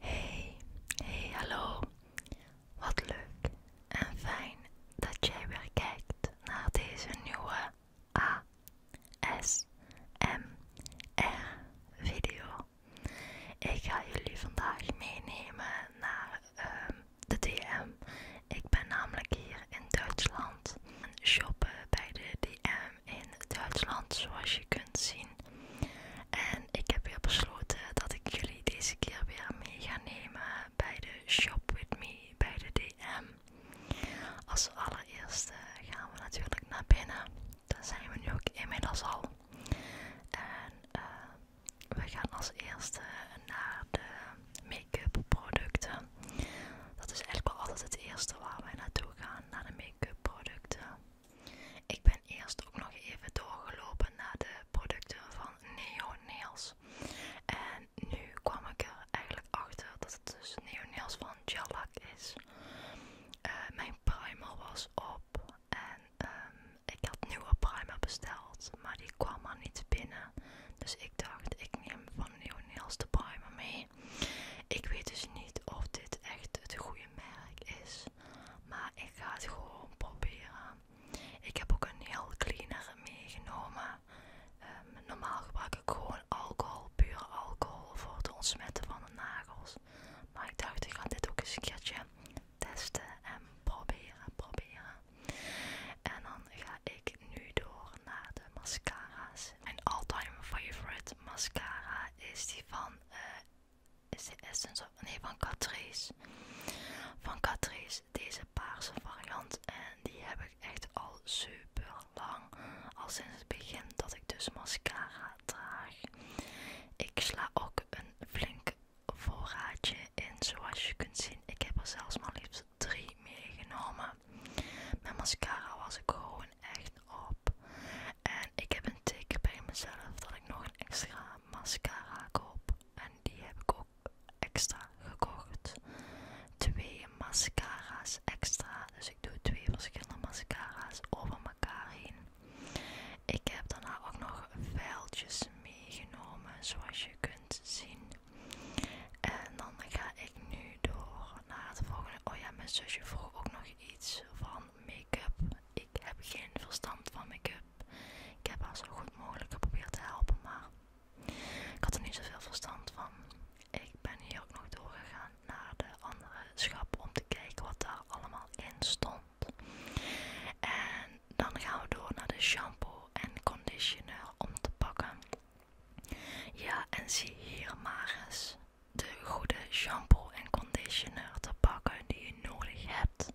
Hey, hey, hallo. Wat leuk en fijn dat jij weer kijkt naar deze nieuwe ASMR-video. Ik ga jullie vandaag meenemen naar ehm, de DM. Ik ben namelijk hier in Duitsland shoppen bij de DM in Duitsland, zoals je kunt zien. En ik heb weer besloten dat ik jullie deze keer weer mee ga nemen bij de Shop With Me, bij de DM. Als allereerste gaan we natuurlijk naar binnen. Dan zijn we nu ook inmiddels al. En eh, we gaan als eerste naar de make-up producten. Dat is eigenlijk wel altijd het eerste waar wij naartoe gaan, naar de make-up producten. Ik ben eerst ook nog even doorgelopen naar de producten van Neo Nails. En nu kwam ik er eigenlijk achter dat het dus Neo Nails van Gel is. Eh, mijn primer was op en ehm, ik had nieuwe primer besteld, maar die kwam er niet binnen. Dus ik dacht, ik neem van Neo Nails de primer mee. Ik weet dus niet of dit echt het goede merk is. Maar ik ga het gewoon proberen. Ik heb ook een heel cleaner meegenomen. Ehm, normaal gebruik ik gewoon alcohol, pure alcohol, voor het ontsmetten van de nagels. Maar ik dacht, ik ga dit ook eens een keertje testen en proberen, proberen. En dan ga ik nu door naar de mascara's. Mijn all-time favorite mascara is die van eh, is de Essence Nee, van Catrice. Van Catrice. Deze paarse variant. En die heb ik echt al super lang. Al sinds het begin dat ik dus mascara draag. Ik sla ook een flink voorraadje in. Zoals je kunt zien. Ik heb er zelfs maar liefst drie meegenomen. Mijn mascara was ik gewoon echt op. En ik heb een tik bij mezelf dat ik nog een extra mascara koop. En die heb ik ook extra gekocht. Twee mascara's extra. Dus ik doe twee verschillende mascara's over elkaar heen. Ik heb daarna ook nog vuiltjes meegenomen, zoals je kunt zien. En dan ga ik nu door naar het volgende. Oh ja, mijn zusje vroeg ook nog iets van make-up ik heb geen verstand van make-up. Ik heb haar zo goed mogelijk geprobeerd te helpen, maar ik had er niet zoveel verstand van. Ik ben hier ook nog doorgegaan naar de andere schap om te kijken wat daar allemaal in stond. En dan gaan we door naar de shampoo en conditioner om te pakken. Ja, en zie hier maar eens de goede shampoo en conditioner te pakken die je nodig hebt.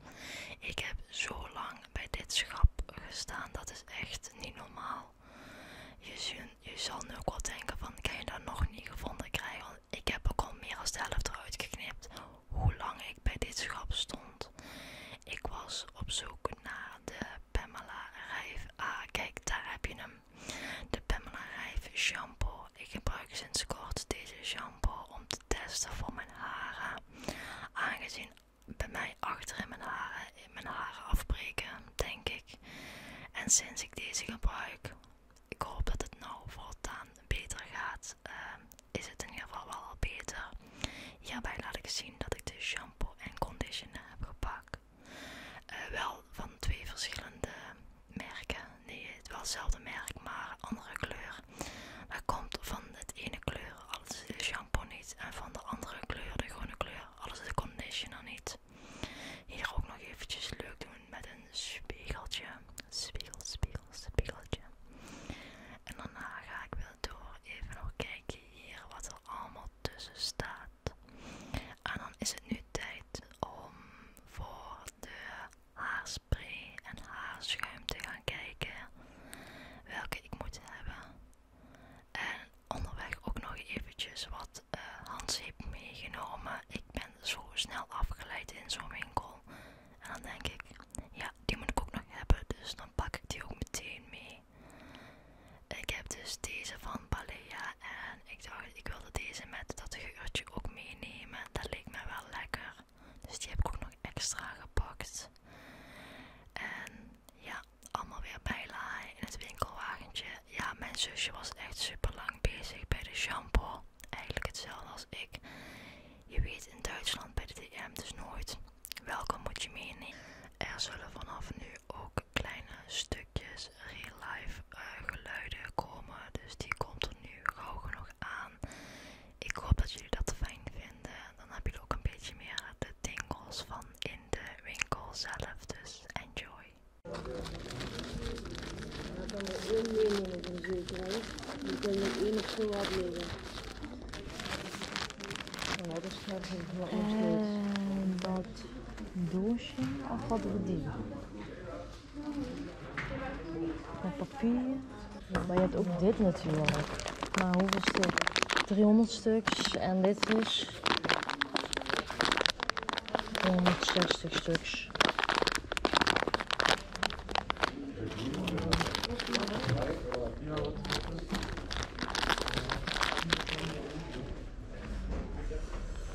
Ik heb zo lang bij dit schap gestaan, dat is echt niet normaal. Je, zal nu ook wel denken van, kan je dat nog niet gevonden krijgen? Want ik heb ook al meer dan de helft eruit geknipt hoe lang ik bij dit schap stond. Ik was op zoek naar de Pamela Rijf. Ah, kijk, daar heb je hem. De Pamela shampoo. Ik gebruik sinds kort deze shampoo om te testen voor mijn haren. Aangezien bij mij achter mijn haren, afbreken, denk ik. En sinds ik deze gebruik, ik hoop dat het nou voortaan beter gaat. Ehm, is het in ieder geval wel al beter. Hierbij laat ik zien dat ik de shampoo en conditioner heb gepakt. Eh, wel van twee verschillende merken. Nee, het wel hetzelfde merk, maar andere kleur. Dat komt van het ene kleur, alles de shampoo niet. En van de andere kleur, de groene kleur, alles de conditioner niet. Hier ook nog eventjes leuk doen met een spiegeltje. Spiegel, spiegel, spiegeltje. En daarna ga ik weer door even nog kijken hier wat er allemaal tussen staat. En dan is het nu tijd om voor de haarspray en haarschuim te gaan kijken welke ik moet hebben. En onderweg ook nog eventjes wat uh, heeft meegenomen. Ik ben zo snel afgeleid in zo'n winkel. En dan denk ik, ja, die moet ik ook nog hebben, dus dan pak ik die ook meteen mee. Ik heb dus deze van Balea en ik dacht, ik wilde deze met dat geurtje ook meenemen. Dat leek me wel lekker. Dus die heb ik ook nog extra gepakt. En ja, allemaal weer bijlaai in het winkelwagentje. Ja, mijn zusje was echt super lang bezig bij de shampoo. Eigenlijk hetzelfde als ik. Je weet in Duitsland bij de DM dus nooit welkom moet je meenemen. Er zullen vanaf nu ook kleine stukjes real life eh, geluiden komen. Dus die komt er nu gauw genoeg aan. Ik hoop dat jullie dat fijn vinden. Dan heb je ook een beetje meer de tingels van in de winkel zelf. Dus enjoy. Ja, kan er dat is dat doosje, of wat we die? papier. Maar je hebt ook dit natuurlijk. Maar hoeveel stuk? 300 stuks en dit is 160 stuks.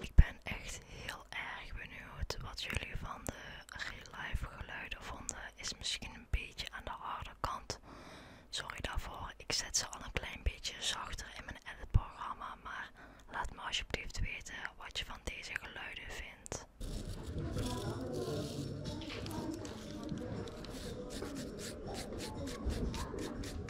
Ik ben echt heel erg benieuwd wat jullie van de real life geluiden vonden. Is misschien een beetje aan de harde kant. Sorry daarvoor, ik zet ze al een klein beetje zachter in mijn editprogramma, maar laat me alsjeblieft weten wat je van deze geluiden vindt.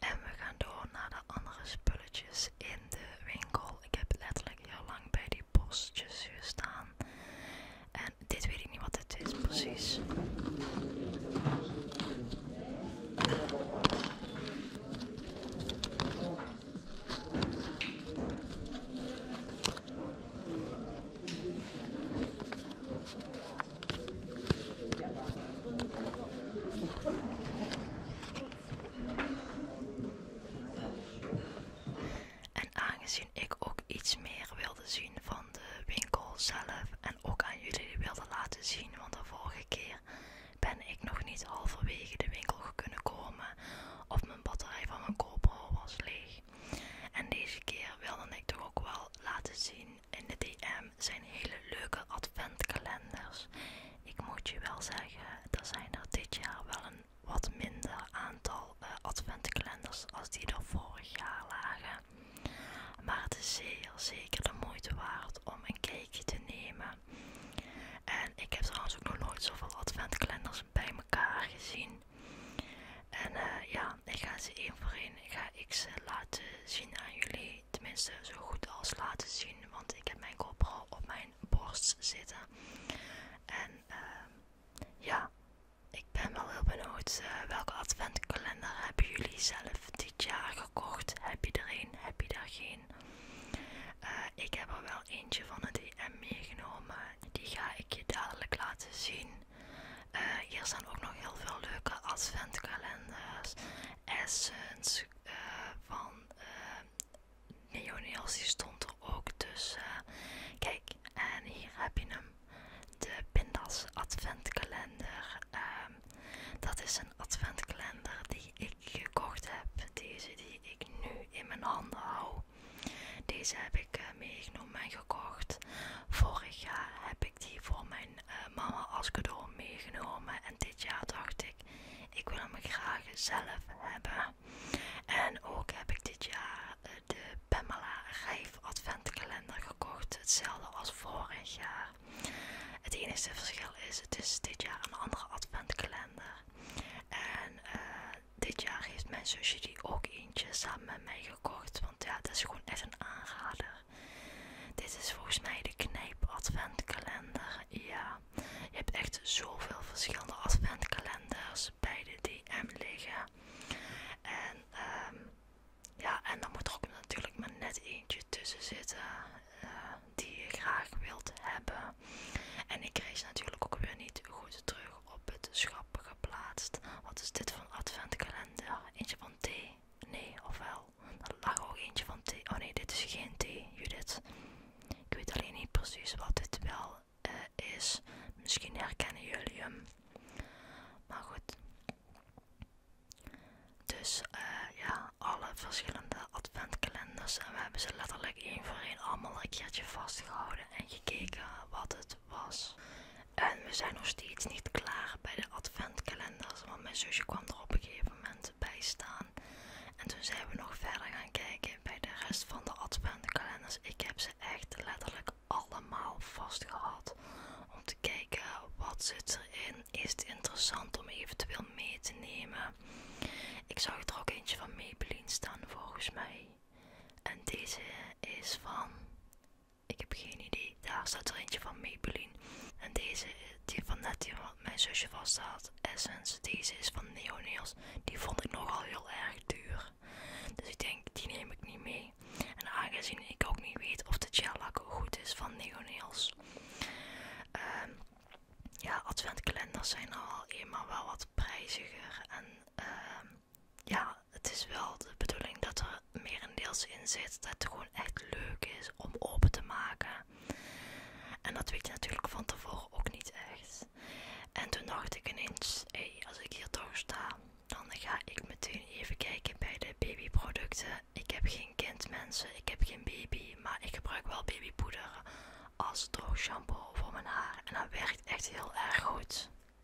En we gaan door naar de andere spulletjes in de winkel. Ik heb letterlijk heel lang bij die postjes hier staan, En dit weet ik niet wat het is precies. En aangezien ik ook iets meer wilde zien van de winkel zelf en ook aan jullie wilde laten zien, want de vorige keer ben ik nog niet halverwege de winkel gekomen of mijn batterij van mijn GoPro was leeg. En deze keer wilde ik toch ook wel laten zien in de DM zijn hele leuke adventkalenders. Ik moet je wel zeggen, er zijn er dit jaar wel een wat minder aantal eh, adventkalenders als die er vorig jaar lagen. Maar het is zeer zeker de moeite waard om een kijkje te nemen. En ik heb trouwens ook nog nooit zoveel adventkalenders bij elkaar gezien. En eh, ja, ik ga ze één voor één. Ik ga ik ze eh, laten zien aan jullie. Tenminste, zo goed als laten zien. Want ik heb mijn GoPro op mijn borst zitten. En ehm, ja, ik ben wel heel benieuwd. Eh, welke adventkalender hebben jullie zelf dit jaar gekocht? Heb je er een? Heb je er geen? ik heb er wel eentje van de DM meegenomen. Die ga ik je dadelijk laten zien. Eh, hier zijn ook nog heel veel leuke adventkalenders, essence eh, van uh, eh, Neoneels, die stond er ook tussen. Kijk, en hier heb je hem, de Pindas adventkalender. Ehm, dat is een adventkalender die ik gekocht heb, deze die ik nu in mijn handen hou. Deze heb ik meegenomen en gekocht. Vorig jaar heb ik die voor mijn eh, mama als cadeau meegenomen. En dit jaar dacht ik, ik wil hem graag zelf hebben. En ook heb ik dit jaar eh, de Pamela Rijf Adventkalender gekocht. Hetzelfde als vorig jaar. Het enige verschil is, het is dit jaar een andere adventkalender. En eh, dit jaar heeft mijn zusje die ook eentje samen mij gekocht. Want ja, dat is gewoon echt een aanrader. Dit is volgens mij de Knijp Adventkalender. Ja, je hebt echt zoveel verschillende adventkalenders bij de DM liggen. En ehm, ja, en dan moet er ook natuurlijk maar net eentje tussen zitten eh, die je graag wilt hebben. En ik kreeg ze natuurlijk ook weer niet goed terug op het schap geplaatst. Wat is dit van adventkalender? Eentje van thee? Nee, ofwel? Er lag ook eentje van thee. Oh nee, dit is geen thee, Judith. Ik weet alleen niet precies wat dit wel eh, is. Misschien herkennen jullie hem. Maar goed. Dus eh, ja, alle verschillende adventkalenders. En we hebben ze letterlijk één voor één allemaal een keertje vastgehouden en gekeken wat het was. En we zijn nog steeds niet klaar bij de adventkalenders, want mijn zusje kwam er op een gegeven moment bij staan. En toen zijn we nog verder gaan kijken bij de rest van de adventkalenders. Ik heb ze echt letterlijk allemaal vastgehad om te kijken wat zit erin. Is het interessant om eventueel mee te nemen? Ik zag er ook eentje van Maybelline staan volgens mij. En deze is van ik heb geen idee. Daar staat er eentje van Maybelline. En deze, die van net die wat mijn zusje vast had. Essence. Deze is van Neonails. Die vond ik nogal heel erg duur. Dus ik denk, die neem ik niet mee. En aangezien ik ook niet weet of de gel lak goed is van Neonails. Ehm. ja, adventkalenders zijn al eenmaal wel wat prijziger. En ehm ja, het is wel de bedoeling dat er meerendeels in zit dat het gewoon echt leuk is om open te maken. En dat weet je natuurlijk van tevoren ook niet echt. En toen dacht ik ineens, hé, hey, als ik hier toch sta, dan ga ik meteen even kijken bij de babyproducten. Ik heb geen kind mensen, ik heb geen baby, maar ik gebruik wel babypoeder als droog shampoo voor mijn haar. En dat werkt echt heel erg goed.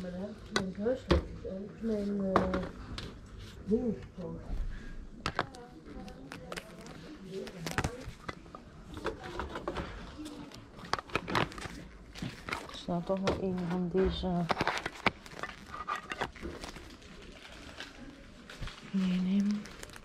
maar ik mijn huisletters mijn is nou toch nog een van deze. Meenemen.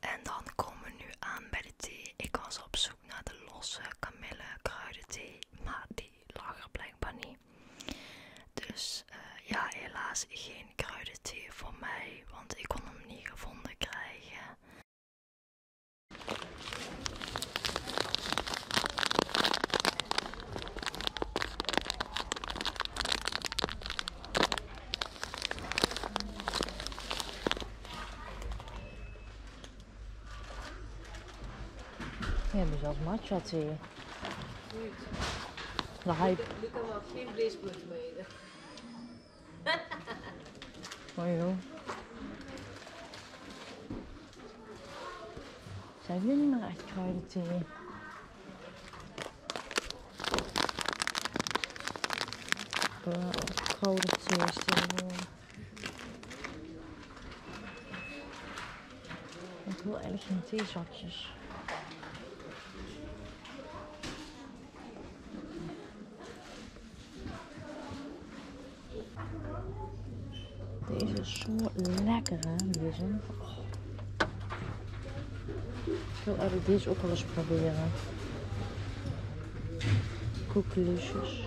En dan komen we nu aan bij de thee. Ik was op zoek naar de losse kamille kruidenthee, maar die lager er blijkbaar niet. Dus eh, ja, helaas geen geen voor mij, want ik kon hem niet gevonden krijgen. hebben dus matcha thee. Nu kan wel geen mee. Zijn jullie niet meer echt kruidenthee? Eh, kruidenthee is eh. Ik wil eigenlijk geen theezakjes. Deze is zo lekker Ik wil deze ook wel eens proberen. Koekelusjes.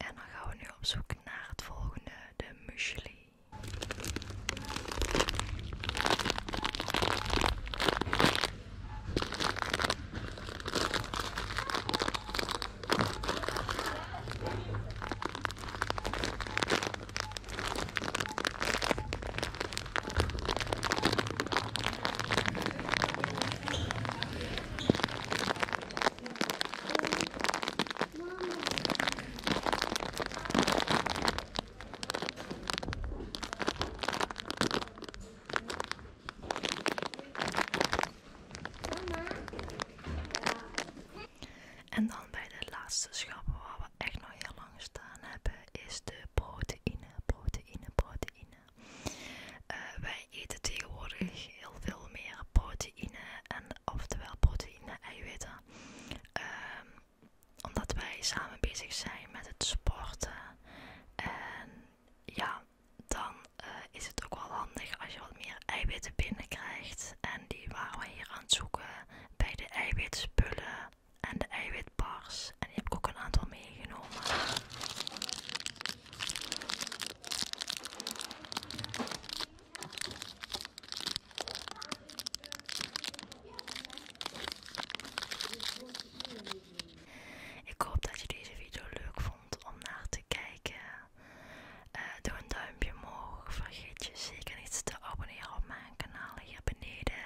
En dan gaan we nu op zoek naar het volgende, de muesli. En dan bij de laatste schappen waar we echt nog heel lang staan hebben, is de proteïne, proteïne, proteïne. Eh, wij eten tegenwoordig heel veel meer proteïne proteïne en oftewel proteïne en eiwitten. Ehm, omdat wij samen bezig zijn met het sporten. En ja, dan eh, is het ook wel handig als je wat meer eiwitten binnenkrijgt. En die waren we hier aan het zoeken bij de eiwitspullen en de eiwitbars. En die heb ik ook een aantal meegenomen. Ik hoop dat je deze video leuk vond om naar te kijken. Eh, doe een duimpje omhoog. Vergeet je zeker niet te abonneren op mijn kanaal hier beneden.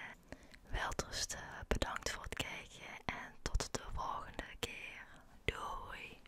Welterusten, bedankt voor het kijken en tot de volgende keer. Doei!